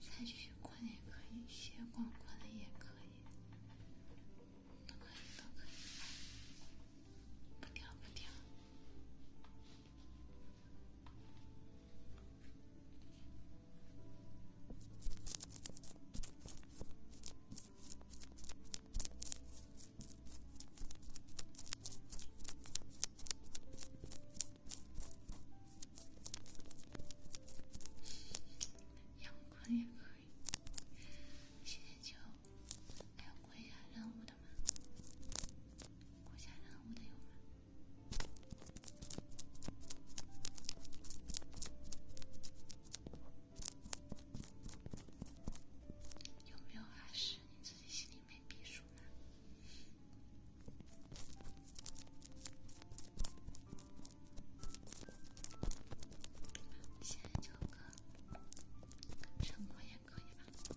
再继续逛也可以，先逛逛的也可以，都可以，都可以，不掉，不掉。阳光也可以。现在就还要过一下任务的吗？过一下任务的有吗？有没有法师？你自己心里没底数吗？现在就个，什么也可以吧。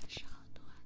还是好多啊！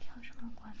调什么关？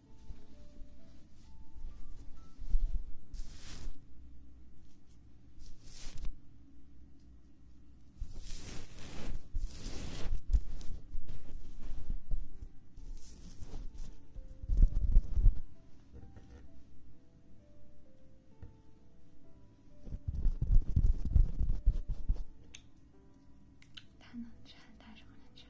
他能穿，他什么能穿？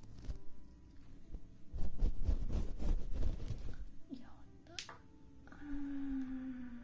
やったうんあ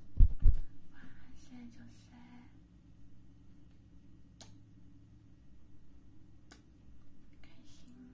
哇塞就塞，开心。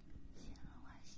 形容外向。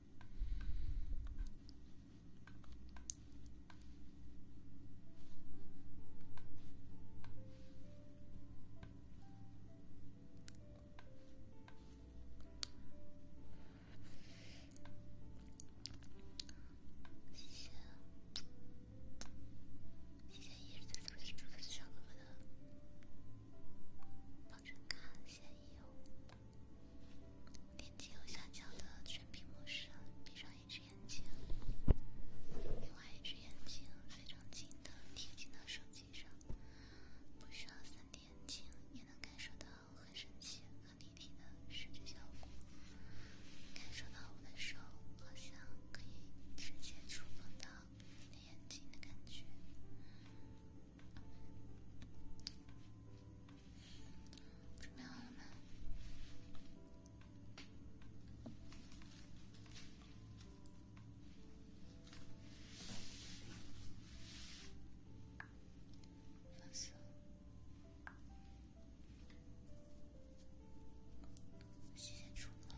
谢谢，谢谢一直在这里祝福小哥哥的仿真卡，谢谢哟。点击右下角的全屏模式，闭上一只眼睛，另外一只眼睛非常近的贴近到手机上，不需要三点睛也能感受到很神奇、很立体的视觉效果，感受到我的手好像可以直接触碰到你眼睛的感觉。准备好了吗？放松。谢谢主播。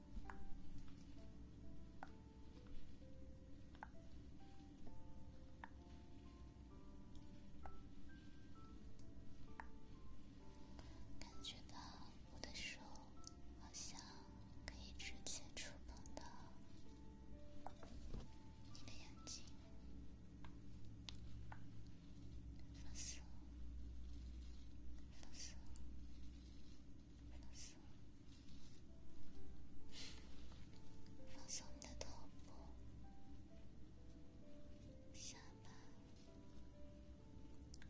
感觉到我的手好像可以直接触碰到你的眼睛，放松，放松。放松，你的头部、下巴，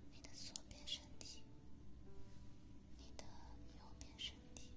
你的左边身体、你的右边身体，的。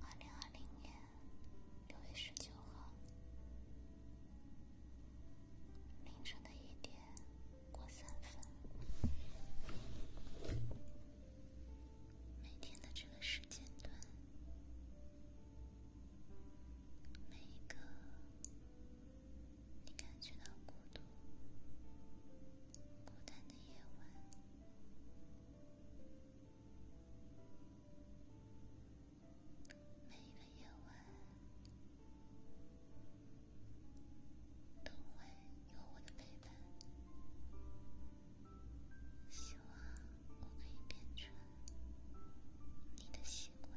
二零二零年六月十九号凌晨的一点过三分，每天的这个时间段，每一个。你感觉到孤独、孤单的夜晚，每一个夜晚都会有我的陪伴。希望我可以变成你的习惯。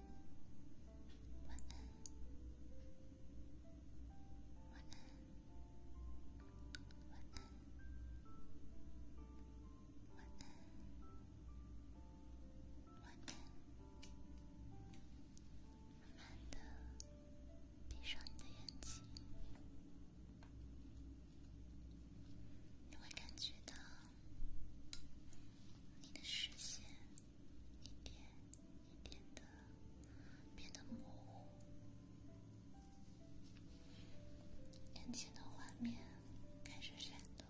慢慢的闭上你的眼睛，你会感觉到你的视线。一点一点的变得模糊，眼前的画面开始闪动，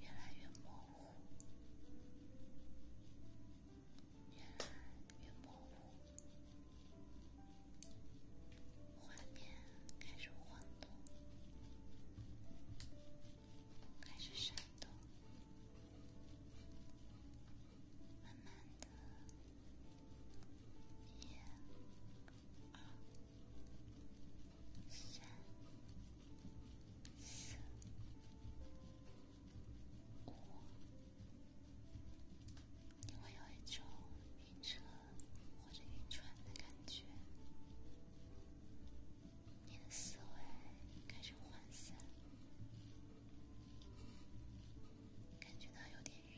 越来越模糊，越来越模糊，画面开始晃动。开始闪动，慢慢的，一、二、三、四、五，你会有一种晕车或者晕船的感觉。你的思维开始涣散，感觉到有点晕，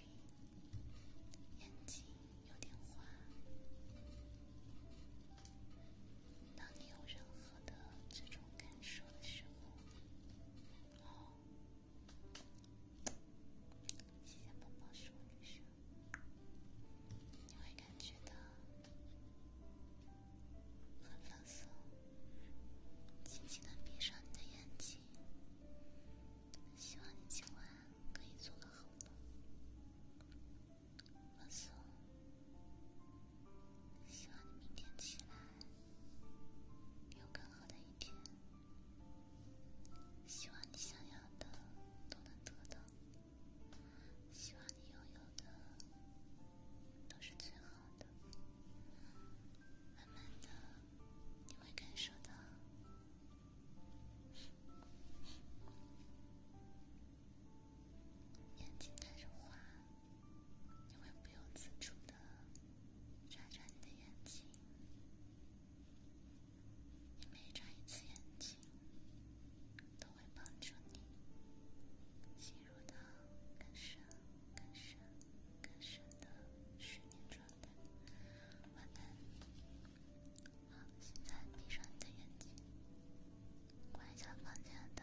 眼睛有点花。当你有任何的这种感受的时候，好，谢谢宝宝，是我女神。你会感觉到很放松，轻轻的闭上你的眼睛。希望你今晚可以做个好梦，放松。希望你明天起来有更好的一天。希望你想要的都能得到。希望你拥有的都是最好的。慢慢的，你会感受到眼睛开始花，你会不由自主的眨眨你的眼睛。你每眨一次眼睛。都会帮助你进入到更深、更深、更深的睡眠状态。晚安！好，现在闭上你的眼睛，关一下房间的。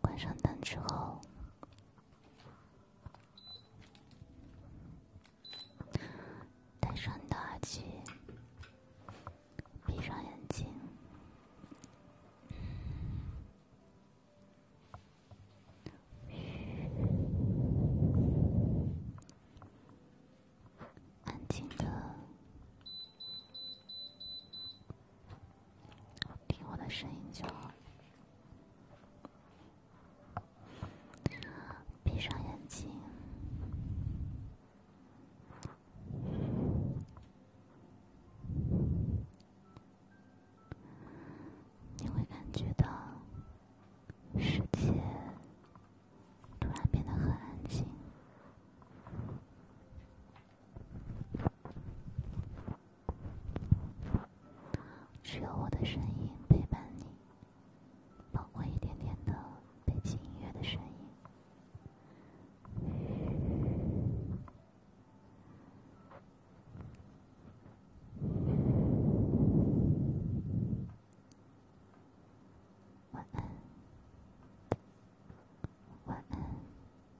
关上灯之后，戴上你的耳机，闭上眼睛，安静的。听我的声音，就好。闭上眼睛，你会感觉到世界突然变得很安静。只有我的声音陪伴你，包括一点点的背景音乐的声音。晚安，晚安。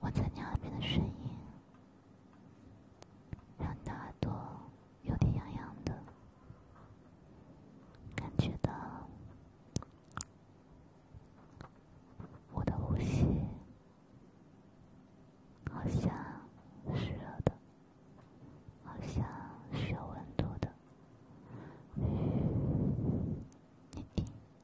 我在你耳边的声音，让你的耳朵有点痒痒的，感觉我的呼吸好像是热的，好像是有温度的，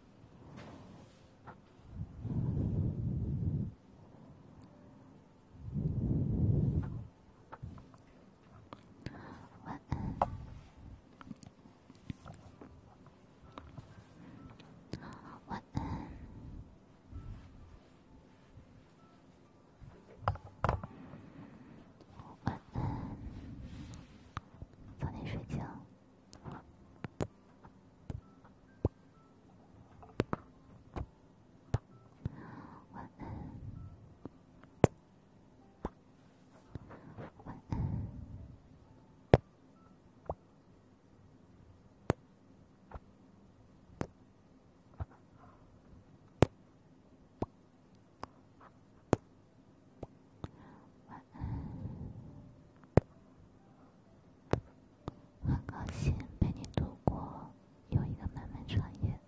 晚安，晚安，晚安，早点睡觉。晚安，晚安。晚安，很高兴陪你度过又一个漫漫长夜。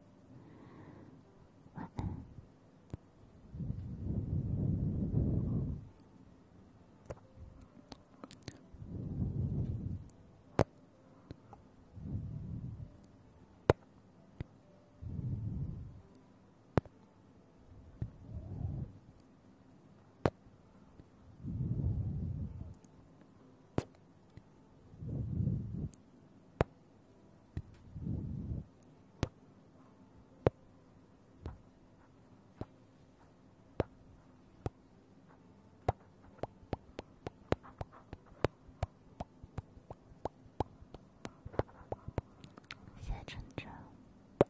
晚安。谢谢晨晨。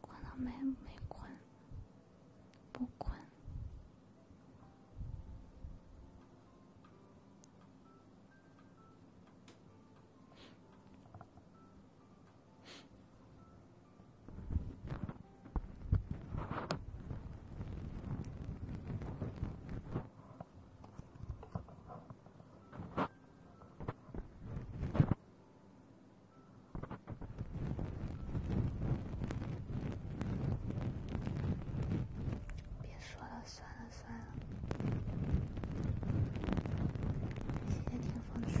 关了没？没关，不关。别说了，算了算了。谢谢听风说。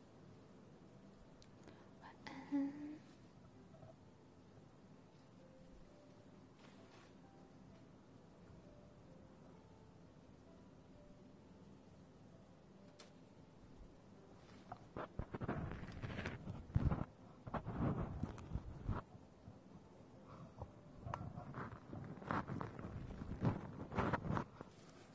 晚安。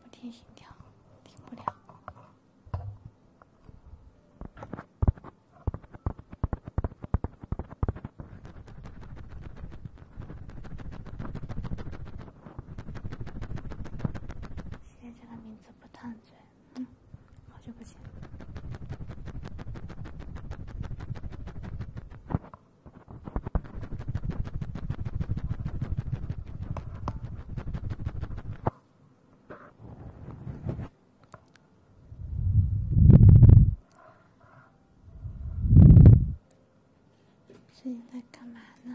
不听心跳，听不了。现在这个名字不烫嘴，嗯。好久不见，最近在干嘛呢？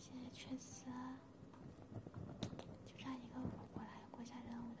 现在缺失，就差一个五过来，过下任务的。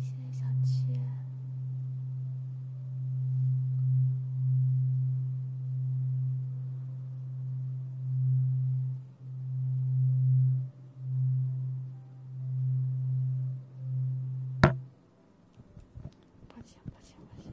谢谢小七。不行不行不行。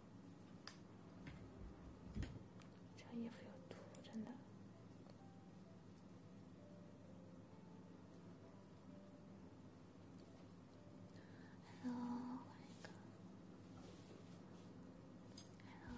这衣服有毒，真的。Hello，换一个。Hello。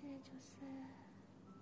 现在就是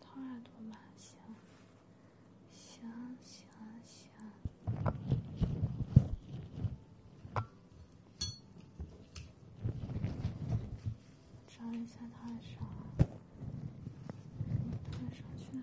掏耳朵吗？行，行，行，行。找一下他泰山。泰山去哪？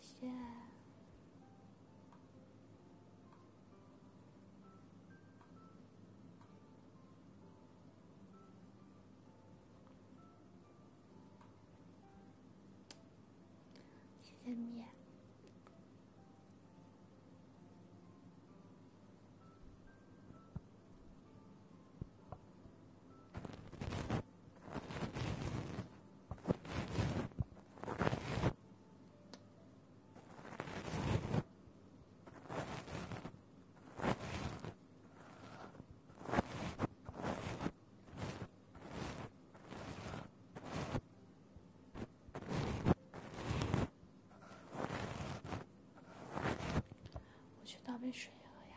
谢谢，谢谢你。我去倒杯水喝呀。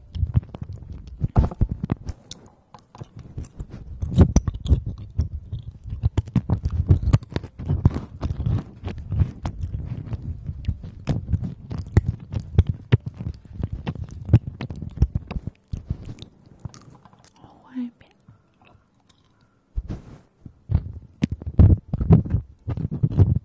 我换一遍。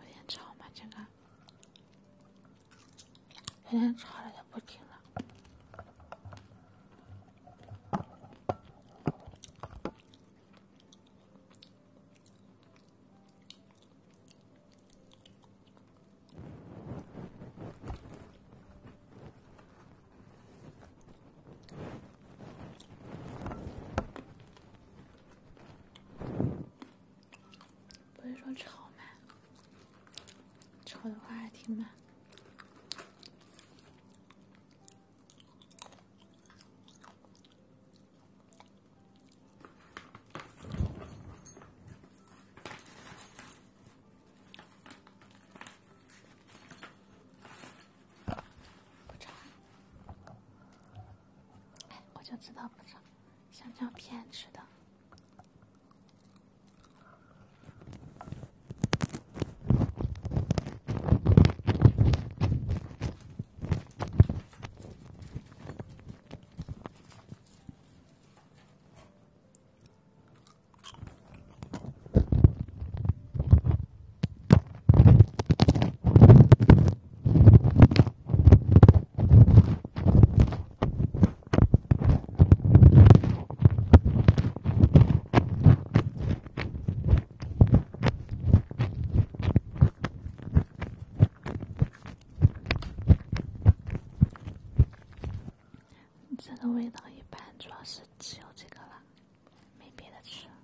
有点吵吗？这个有点吵了，就不听了。不是说吵吗？吵的话还挺慢。不长，我就知道不长。香蕉片吃的。这个味道一般，主要是只有这个了，没别的吃。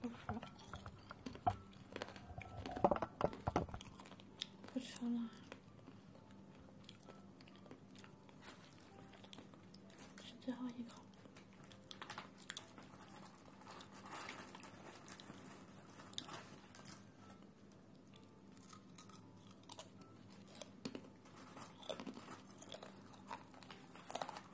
不吃了，不吃了，是最后一口。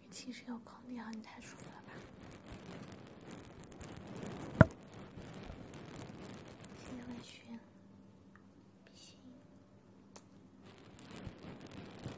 你寝室有空调，你太舒服了吧？现在很需不行。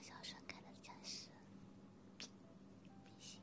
小顺开的驾驶，比心。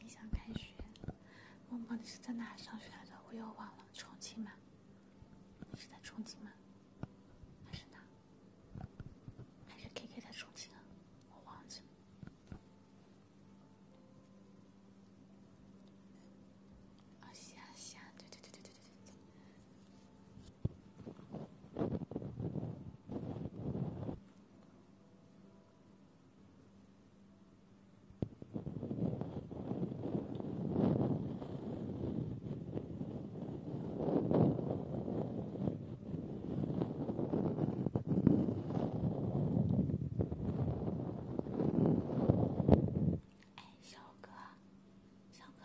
你想开学？默默，你是在哪上学来的？我又忘了，重庆吗？你是在重庆吗？还是哪？还是 KK 在重庆我忘记了。啊，行行，对对对对对对对。哎，小哥，小哥。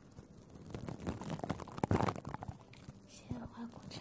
鲜花果茶。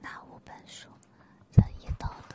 那五本书：《人义道德》。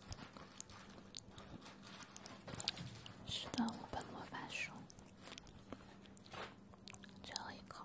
是的，五本魔法书，最后一口。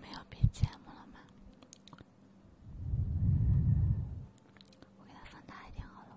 没有别节目了吗？我给它放大一点好了。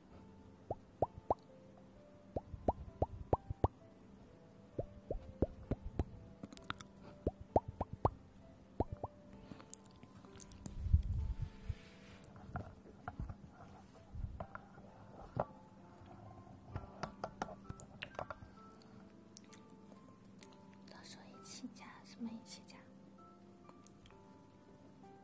到时候一起加，什么一起加？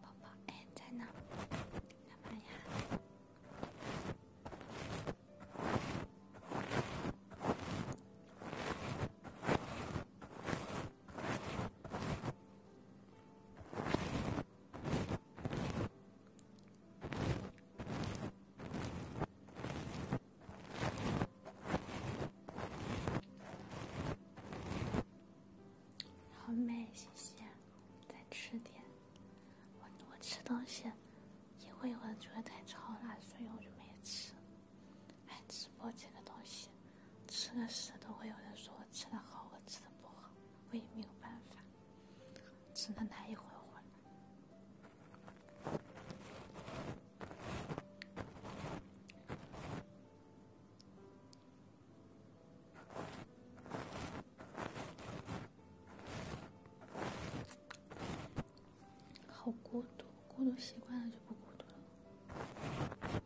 宝宝，哎，在呢，干嘛呀？好美，谢谢。再吃点。我我吃东西，因为我觉得太吵了，所以我就没吃。哎，直播这个东西，吃的时都会有人说我吃的好，我吃的不好，我也没有办法，只能来一回回。好孤独，孤独习惯了就不孤独了。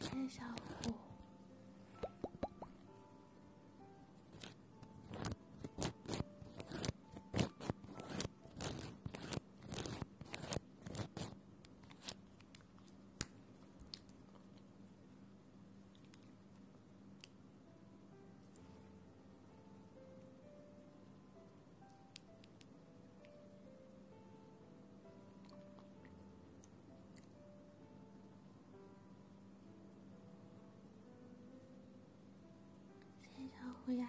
谢谢小五。谢谢小虎牙。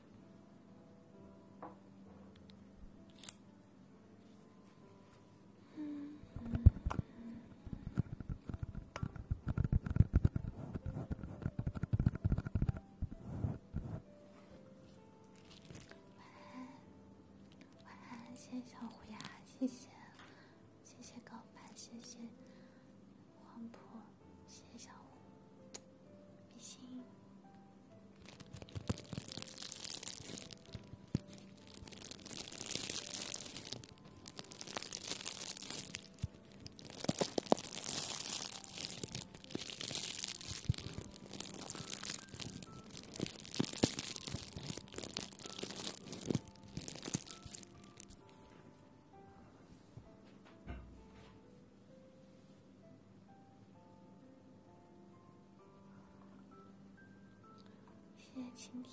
嗯，晚安，晚安，谢谢小虎牙，谢谢，谢谢告白，谢谢黄婆。谢谢小胡，比心。谢谢晴天。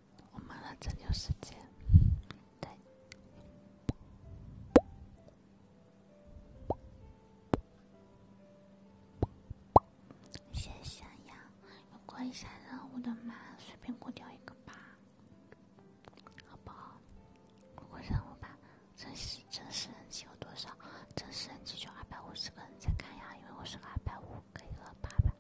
我们来拯救世界，对。谢谢呀，有过一下任务的吗？随便过掉一个吧，好不好？过任务吧。真实真实人气有多少？真实人气就二百五十个人在看呀，因为我是二百五，可以过八百。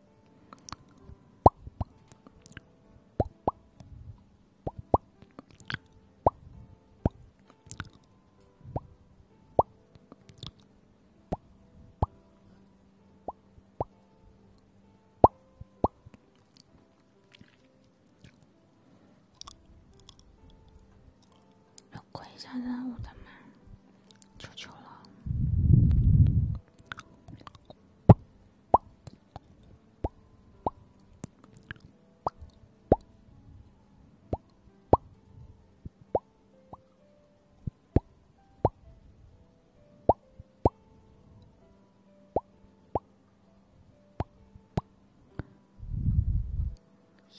有过一下任务的吗？求求了。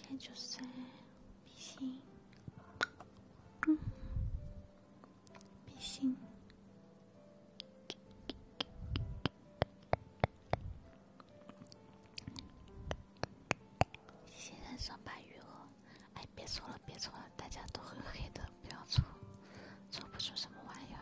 演角色，比心。嗯。比心！先上上半余额，哎，别抽了，别抽了，大家都很黑的，不要抽，抽不出什么玩意儿。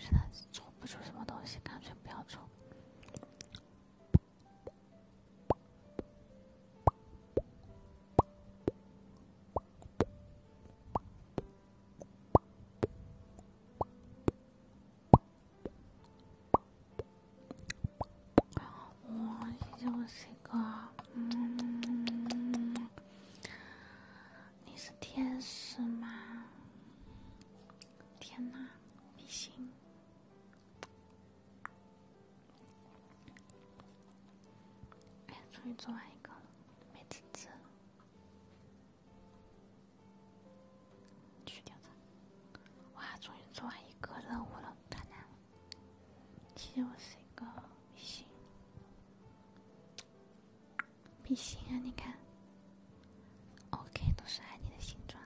实在做不出什么东西，干脆不要做。哇，是这个？嗯，你是天使吗？天哪，不行！哎，终于做完一个，美滋滋！去掉它！哇，终于做完一个任务了，太难了！其实我是一个比心，比心啊！你看，OK，都是爱你的形状。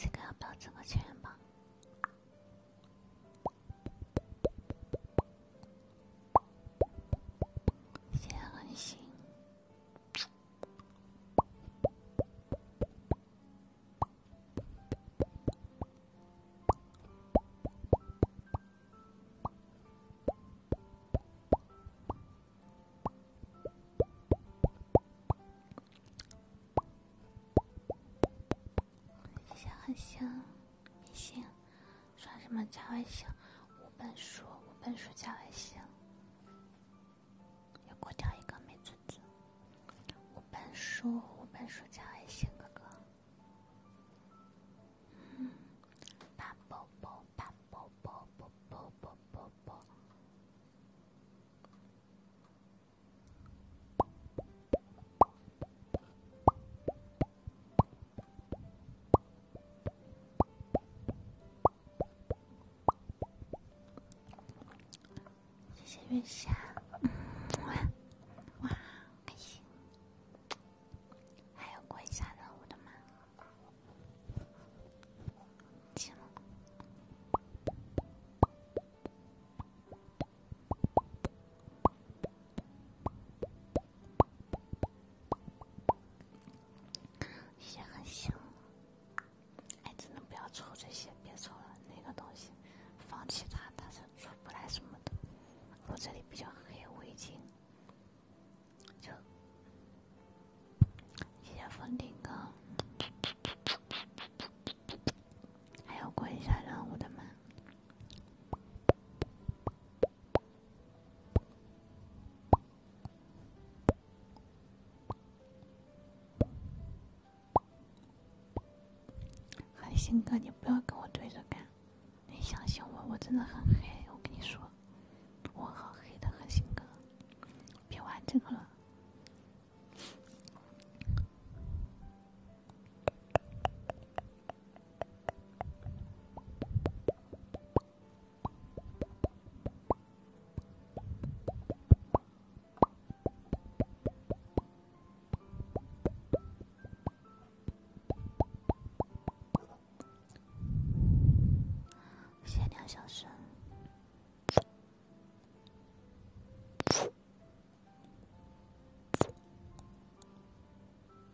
这个要不要整个千元现在很行，现在很行，行。刷什么加微信？五本书，五本书加微信。要过掉一个美滋滋。五本书，五本书加微信，哥哥。嗯，抱抱抱抱抱抱抱抱抱抱抱。谢谢月下，哇，开心！还有过一下任务的吗？行。也很香。哎，真的不要抽这些，别抽了，那个东西，放弃它，它是出不来什么的。我这里比较黑，我已经就谢谢风顶哥，还要关一下任务的门。韩星哥，你不要跟我对着干！你相信我，我真的很黑，我跟你说，我好黑的，韩星哥，别玩这个了。闲聊小声。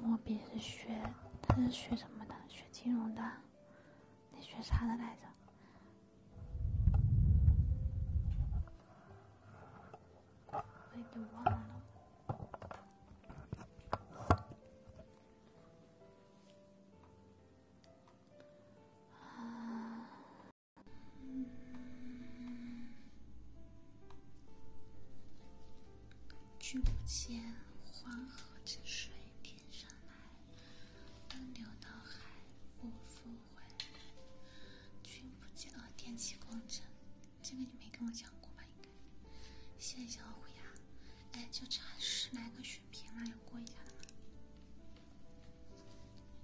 莫比是学，他是学什么的？学金融的？你学啥的来着？哎，都忘了。啊。君不见黄河之水天上来，奔流到海不复回。君不见哦，电气工程，这个你没跟我讲过吧？应该。谢谢虎牙。哎，就差十来个血瓶了，要过一下吗？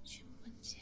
君不见。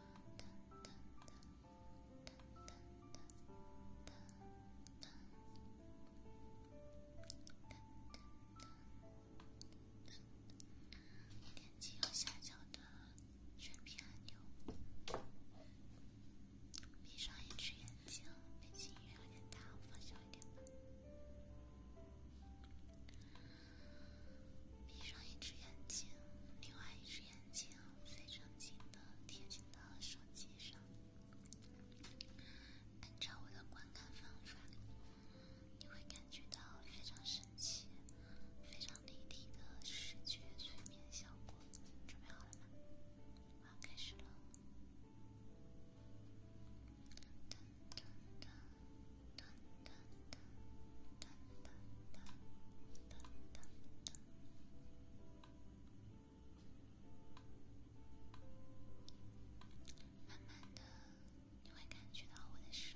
点击右下角的选皮按钮，闭上一只眼睛。背景音乐有点大，我放小一点吧。闭上一只眼睛，另外一只眼睛非常近的贴近到手机上。按照我的观看方法，你会感觉到非常神奇、非常立体的视觉催眠效果。准备好了吗？好，开始了。哒哒哒。慢慢的，你会感觉到我的手。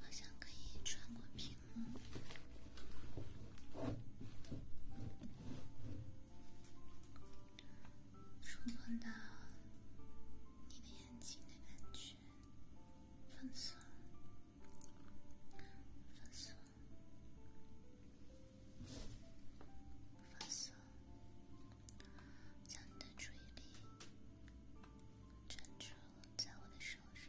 好像可以穿过屏幕，触碰到你的眼睛的感觉，放松，放松，将你的注意力专注在我的手上。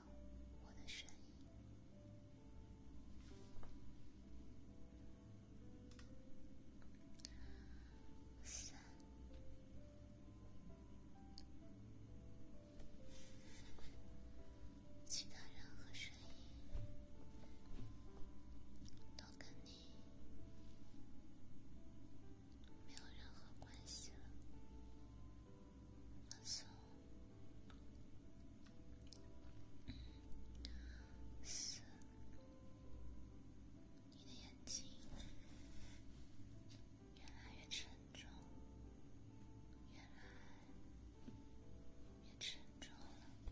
我的声音，三，其他任何声音都跟你没有任何关系了。是，是，你的眼睛越来越沉重，越来越沉重了。我。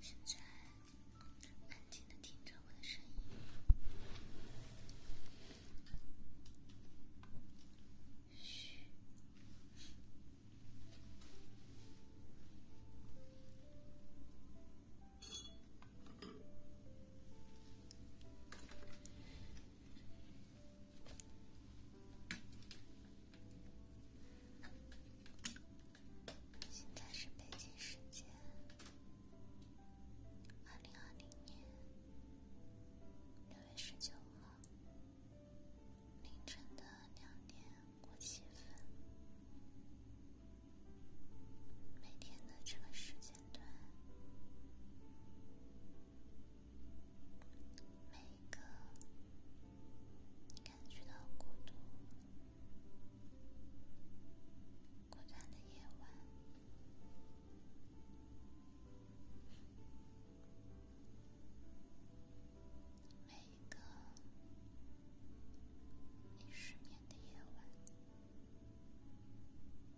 现在，安静的听着我的声音，嘘。现在是北京时间二零二零年六月十九号凌晨的两点过七分。每天的这个时间段。每一个你感觉到孤独、孤单的夜晚，每一个你失眠的夜晚。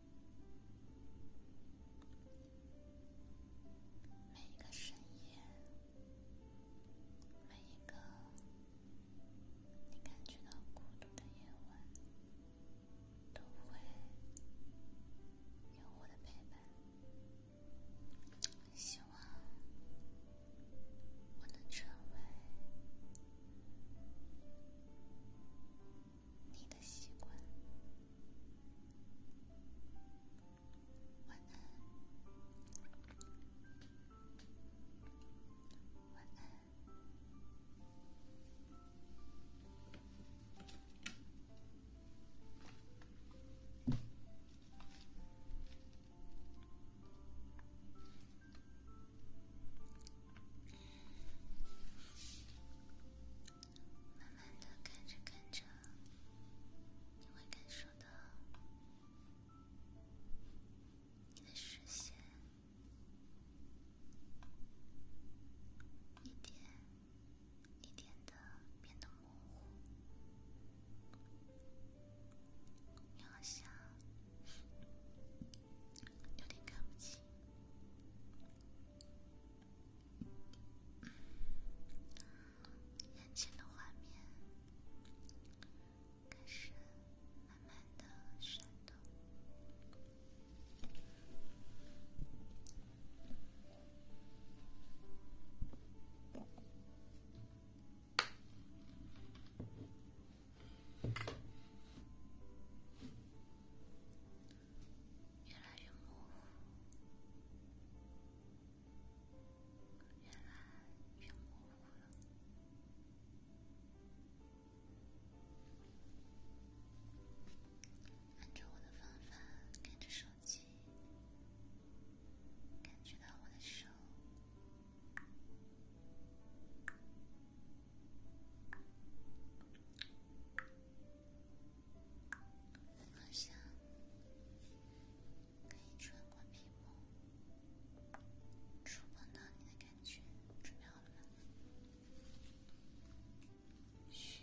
每一个深夜，每一个你感觉到孤独的夜晚，都会有我的陪伴。希望我能成为。你的习惯，晚安，晚安。慢慢的看着看着，你会感受到你的视线一点一点的变得模糊，你好像有点看不清。眼前的画面开始慢慢的闪动。越来越模糊，越来越模糊了。按照我的方法，看着手机，感觉到我的手。好像可以穿过屏幕，触碰到你的感觉。准备好了吗？嘘。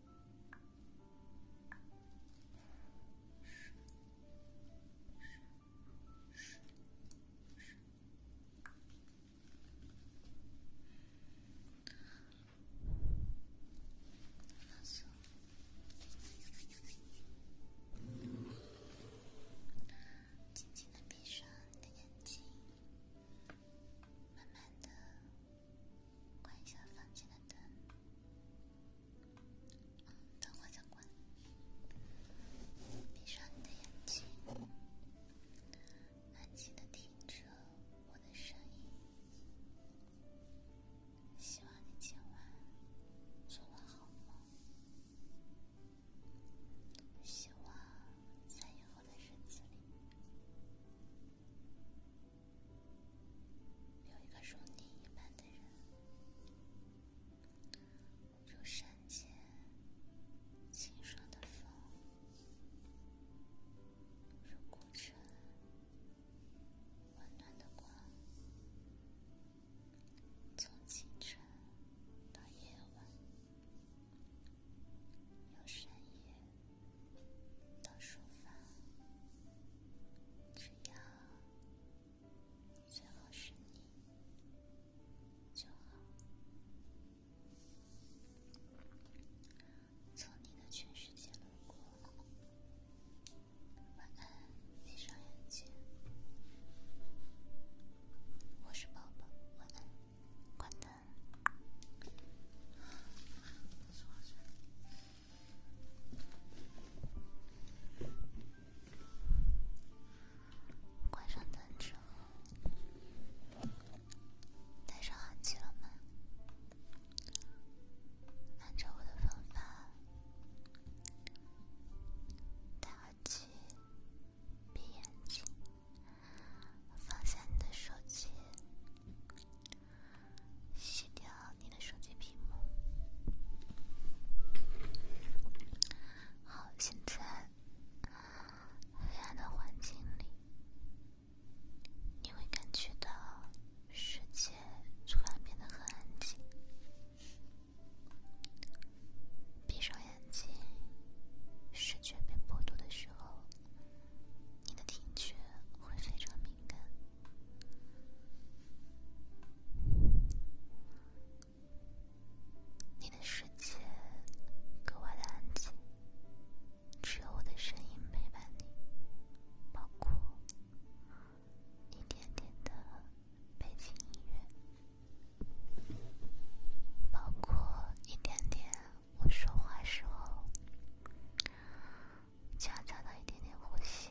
是是是是。那行，静静的闭上你的眼睛，慢慢的。关一下房间的灯，等会再关。闭上你的眼睛，安静的听着我的声音。希望你今晚做了好梦。希望在以后的日子里。有一个如你一般的人，如山间清爽的风，如古城温暖的光，从清晨到夜晚，由深夜到书房，只要。最后是你就好，从你的全世界路过。晚安，闭上眼睛。我是宝宝，晚安，关灯。关上灯之后，上耳机了吗？按照我的方法，戴耳机，闭眼睛，放下你的手机，洗掉。你的手机屏幕。好，现在黑暗的环境里，你会感觉到世界突然变得很安静。闭上眼睛，视觉被剥夺的时候，你的听觉。会非常敏感，你的世界格外的安静，只有我的声音陪伴你，包括一点点的背景音乐，包括一点点我说话时候夹杂的一点点呼吸。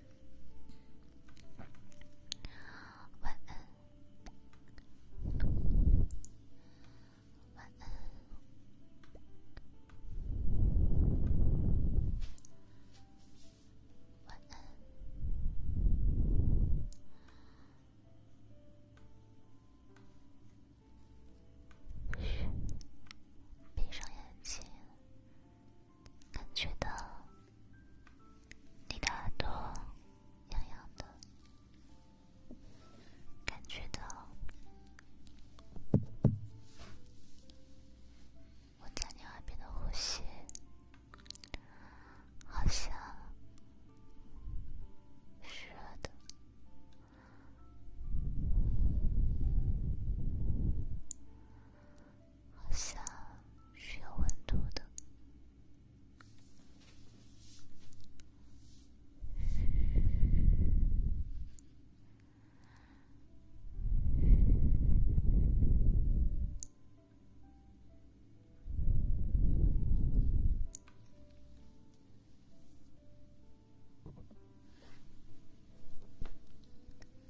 晚安，晚安，晚安，嘘，闭上眼睛。感觉到你的耳朵痒痒的，感觉到我在你耳边的呼吸，好像是的。好像是有温度的。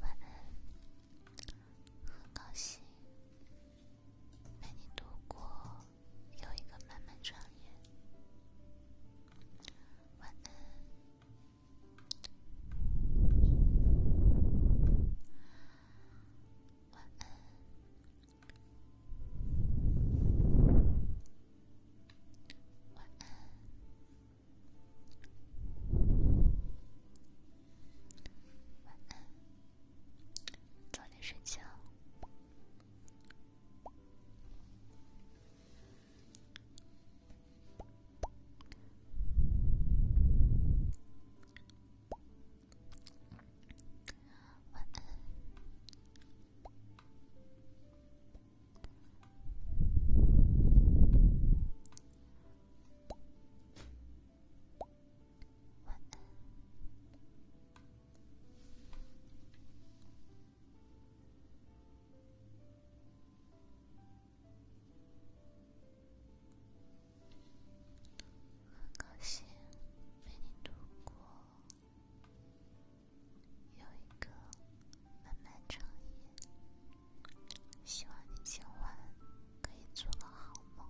晚安。很高兴陪你度过又一个漫漫长夜。晚安，晚安，晚安。晚安，早点睡觉。晚安。晚安，很高兴陪你度过有一个漫漫长夜。希望你今晚可以做个好梦。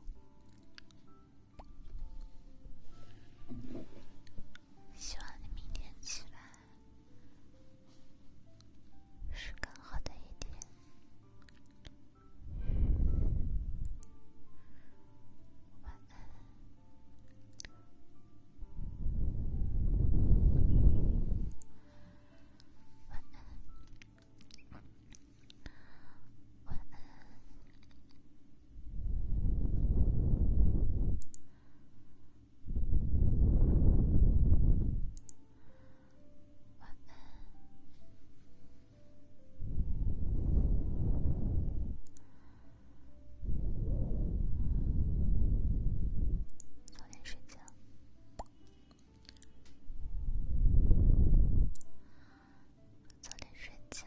希望你明天起来是更好的一天。晚安，晚安。晚安，睡觉。早点睡觉。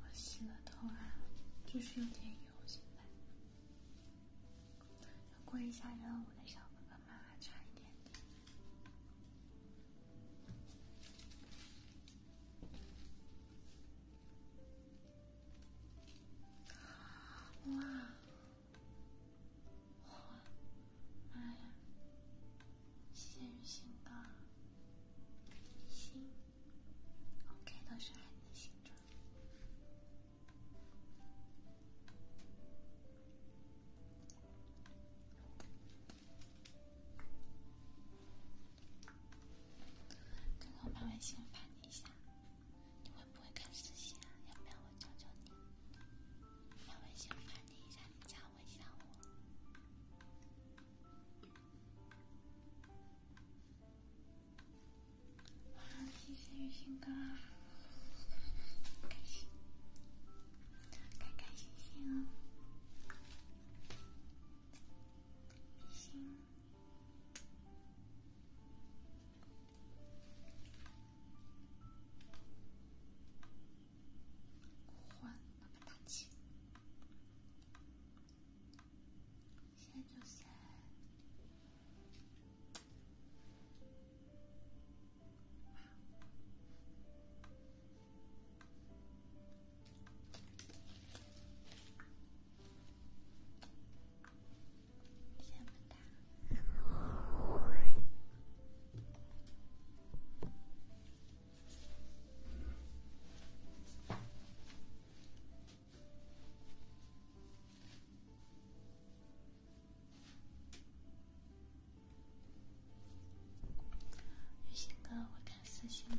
我洗了头啊，就是有点油，现在过一下任务的小哥哥们，差一点点。哇！好。妈呀！谢谢雨欣的雨欣，OK，都是爱你的刚刚我发完信发你一下，你会不会看私信啊？要不要我教教你？发微信发你一下，你加我。我想我。谢谢雨欣哥，不换那么大气，现在就是。雨欣哥，我开私信了。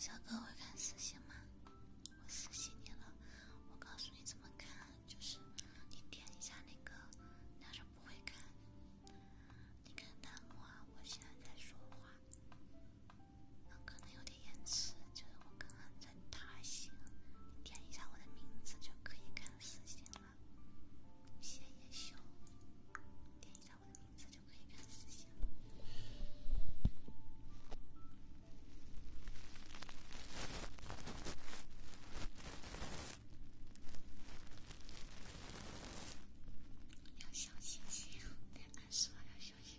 小哥会看私信吗？我私信你了，我告诉你怎么看。就是你点一下那个，你要是不会看，你看弹幕啊。我现在在说话，可能有点延迟，就是我刚刚在打字。你点一下我的名字就可以看私信了，谢叶修。点一下我的名字就可以看私信。要小心些，别按错。要小心。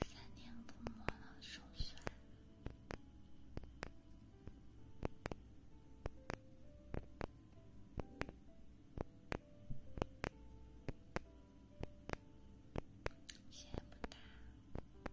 三年不摸了，手酸。鞋也不大。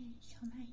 嘿，小奶油。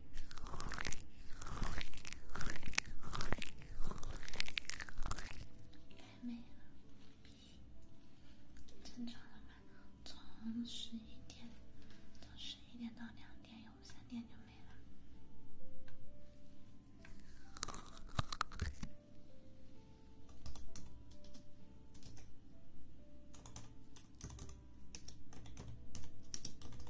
没有，正常了吧？从十一点，从十一点到两点有三点就没了。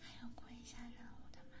还要过一下任务的吗？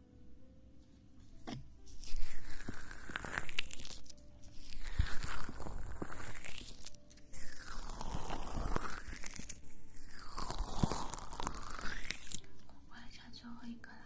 我来唱最后一个啦。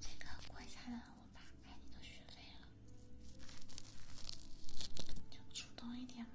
这个鬼才的我爸，看你都学废了，就主动一点嘛。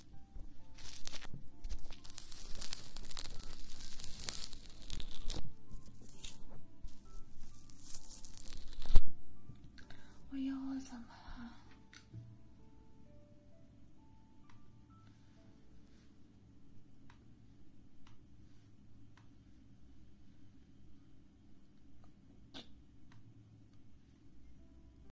我咬我怎么了？